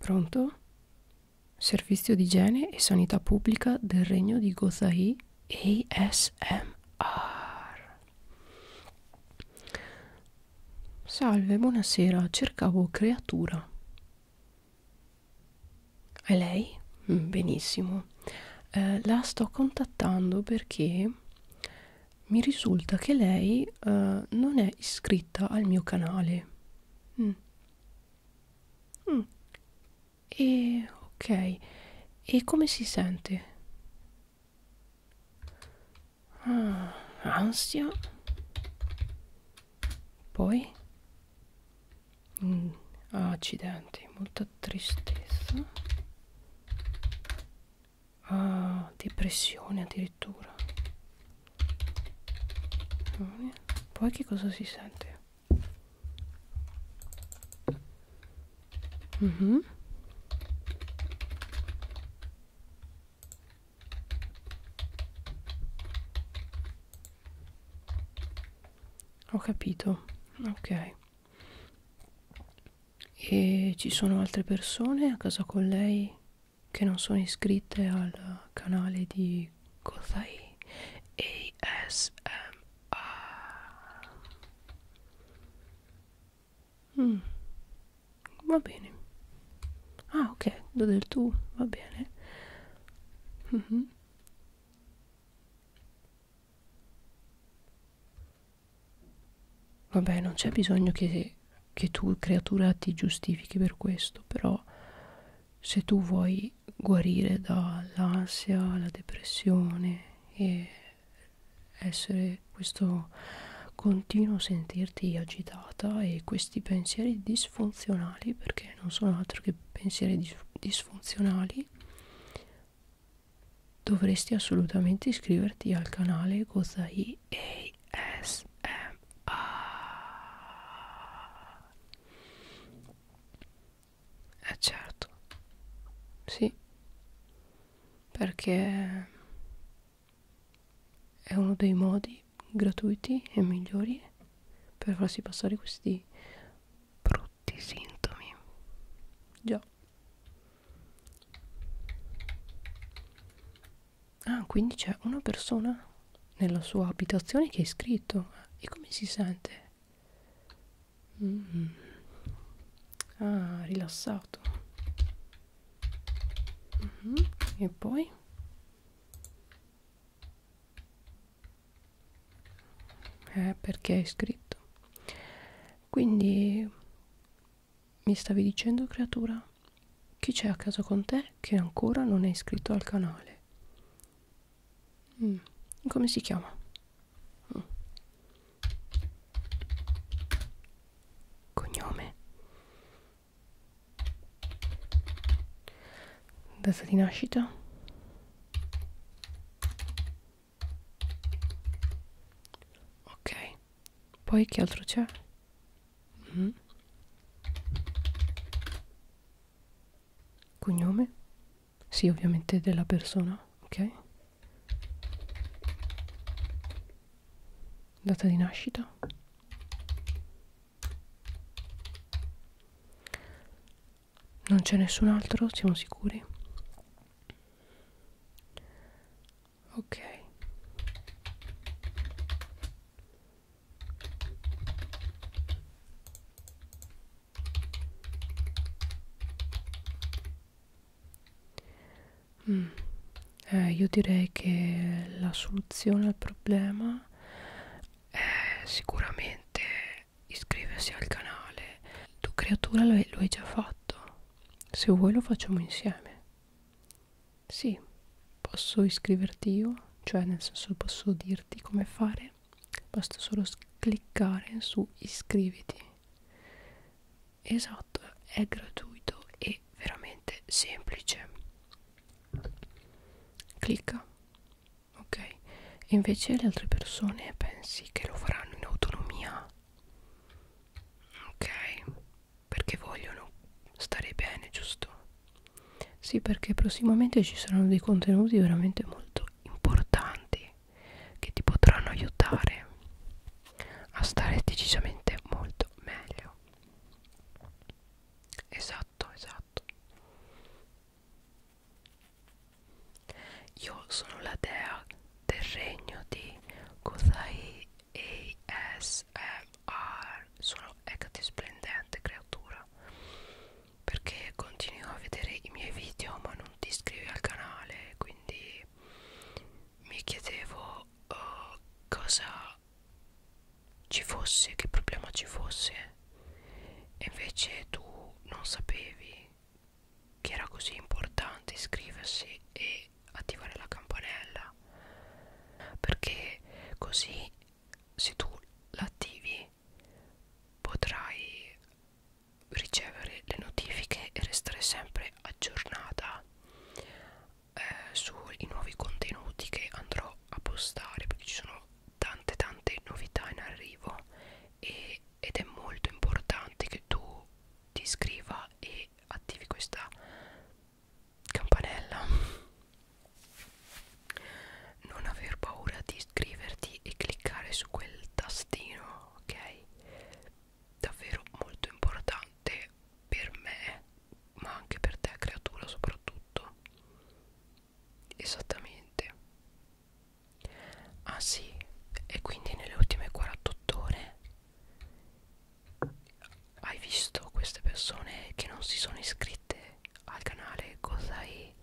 Pronto? Servizio di igiene e sanità pubblica del Regno di Gozahi ASMR Salve, buonasera, cercavo creatura. E lei? Mm, benissimo. Eh, la sto contattando perché mi risulta che lei eh, non è iscritta al mio canale. Mm. Mm. E ok. E come si sente? Ah, ansia. Poi... Mm, accidenti, molta tristezza. Ah, depressione addirittura. Poi che cosa si sente? Mm -hmm. Ho capito, ok. E ci sono altre persone a casa con lei che non sono iscritte al canale di Kozai ASMR. Mm. Va bene. Ah, ok, devo del tu, va bene. Mm -hmm. Vabbè, non c'è bisogno che, che tu, creatura, ti giustifichi per questo, però se tu vuoi guarire dall'ansia, la depressione e essere te questo continuo sentirti agitata e questi pensieri disfunzionali perché non sono altro che pensieri dis disfunzionali dovresti assolutamente iscriverti al canale Gozai ASMR eh certo sì perché è uno dei modi gratuiti e migliori per farsi passare questi brutti sintomi già ah quindi c'è una persona nella sua abitazione che è iscritto e come si sente Mm. Ah, rilassato. Mm -hmm. E poi eh, perché hai scritto. Quindi mi stavi dicendo, creatura, chi c'è a casa con te che ancora non è iscritto al canale? Mm. Come si chiama? Mm cognome data di nascita ok poi che altro c'è mm. cognome sì ovviamente della persona ok data di nascita non c'è nessun altro siamo sicuri ok Mm. Eh, io direi che la soluzione al problema è sicuramente iscriversi al canale. Tu creatura lo hai già fatto. Se vuoi lo facciamo insieme. Sì, posso iscriverti io, cioè nel senso posso dirti come fare. Basta solo cliccare su iscriviti esatto è gratuito e veramente semplice clicca ok e invece le altre persone pensi che lo faranno in autonomia ok perché vogliono stare bene giusto sì perché prossimamente ci saranno dei contenuti veramente molto importanti che ti potranno aiutare a stare decisamente molto meglio esatto esatto io sono la dea del regno di Kozai ASMR sono ecco splendente creatura perché continuo a vedere i miei video ma non ti iscrivi al canale quindi mi chiedevo uh, cosa ci fosse, che problema ci fosse e invece tu non sapevi che era così importante iscriversi e attivare la campanella perché così se tu l'attivi potrai ricevere le notifiche e restare sempre aggiornata eh, sui nuovi contenuti che andrò a postare perché ci sono tante tante novità in arrivo e, ed è molto importante che tu ti iscriva e attivi questa campanella non aver paura di iscriverti e cliccare su quel tastino ok davvero molto importante per me ma anche per te creatura soprattutto esattamente ah sì e quindi nelle ultime 48 ore hai visto queste persone che non si sono iscritte al canale Gozai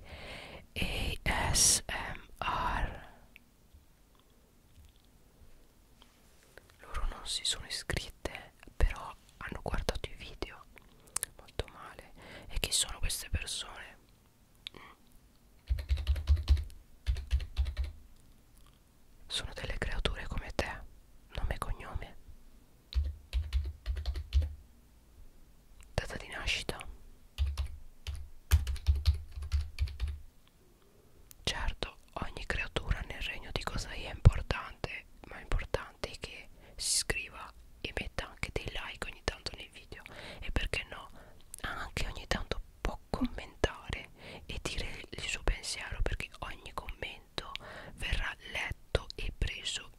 ASMR loro non si sono iscritte però hanno guardato i video molto male e chi sono queste persone sono delle creature come te nome e cognome data di nascita Certo, ogni creatura nel regno di Kosai è importante, ma è importante che si iscriva e metta anche dei like ogni tanto nei video e perché no, anche ogni tanto può commentare e dire il suo pensiero perché ogni commento verrà letto e preso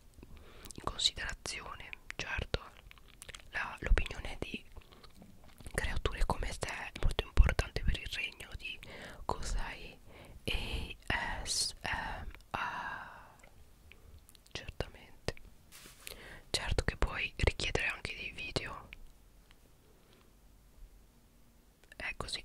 in considerazione, certo l'opinione di creature come te è molto importante per il regno di Kosai ASMR certamente certo che puoi richiedere anche dei video è così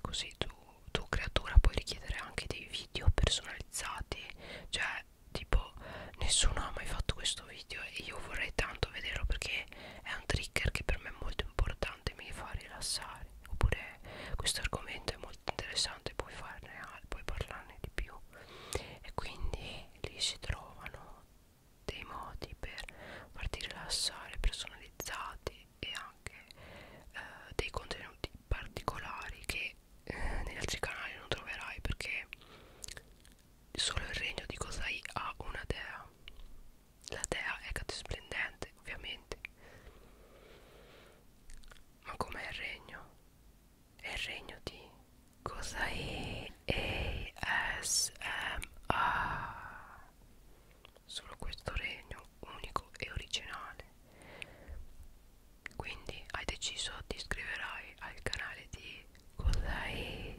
così tu, tu creatura puoi richiedere anche dei video personalizzati cioè tipo nessuno ha mai fatto questo video e io vorrei tanto vederlo perché è un trigger che per me è molto importante mi fa rilassare oppure questo argomento è molto interessante puoi farne puoi parlarne di più e quindi lì si trovano dei modi per farti rilassare personalizzati e anche eh, dei contenuti particolari che eh, negli altri canali non troverai perché Solo il regno di Kosai ha una dea. La dea è catisplendente, ovviamente. Ma com'è il regno? È il regno di Kosai ASMR. Solo questo regno unico e originale. Quindi hai deciso ti iscriverai al canale di Kosai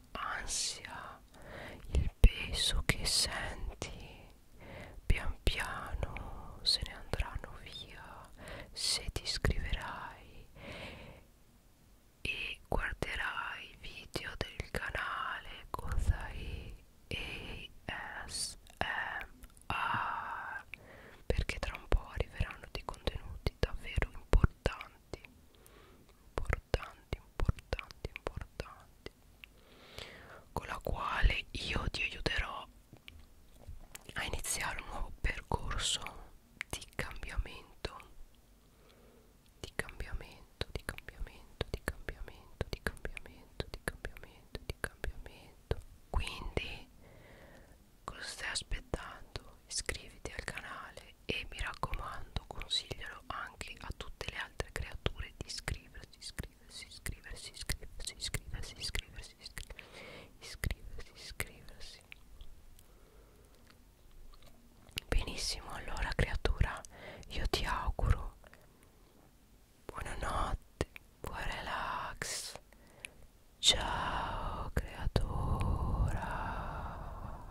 ansia, il peso che senti pian piano se ne andranno via se ti iscriverai e guarderai i video del canale Kozai ASMR perché tra un po' arriveranno dei contenuti davvero importanti importanti importanti importanti importanti con la quale io ti aiuterò a iniziare un nuovo percorso di cambiamento di cambiamento di cambiamento di cambiamento di cambiamento di cambiamento di cambiamento quindi cosa stai aspettando iscriviti al canale e mi raccomando consiglialo anche a tutte le altre creature di iscriversi iscriversi iscriversi iscriversi iscriversi iscriversi iscriversi iscriversi benissimo allora creatura io ti auguro buonanotte buon relax ciao creatura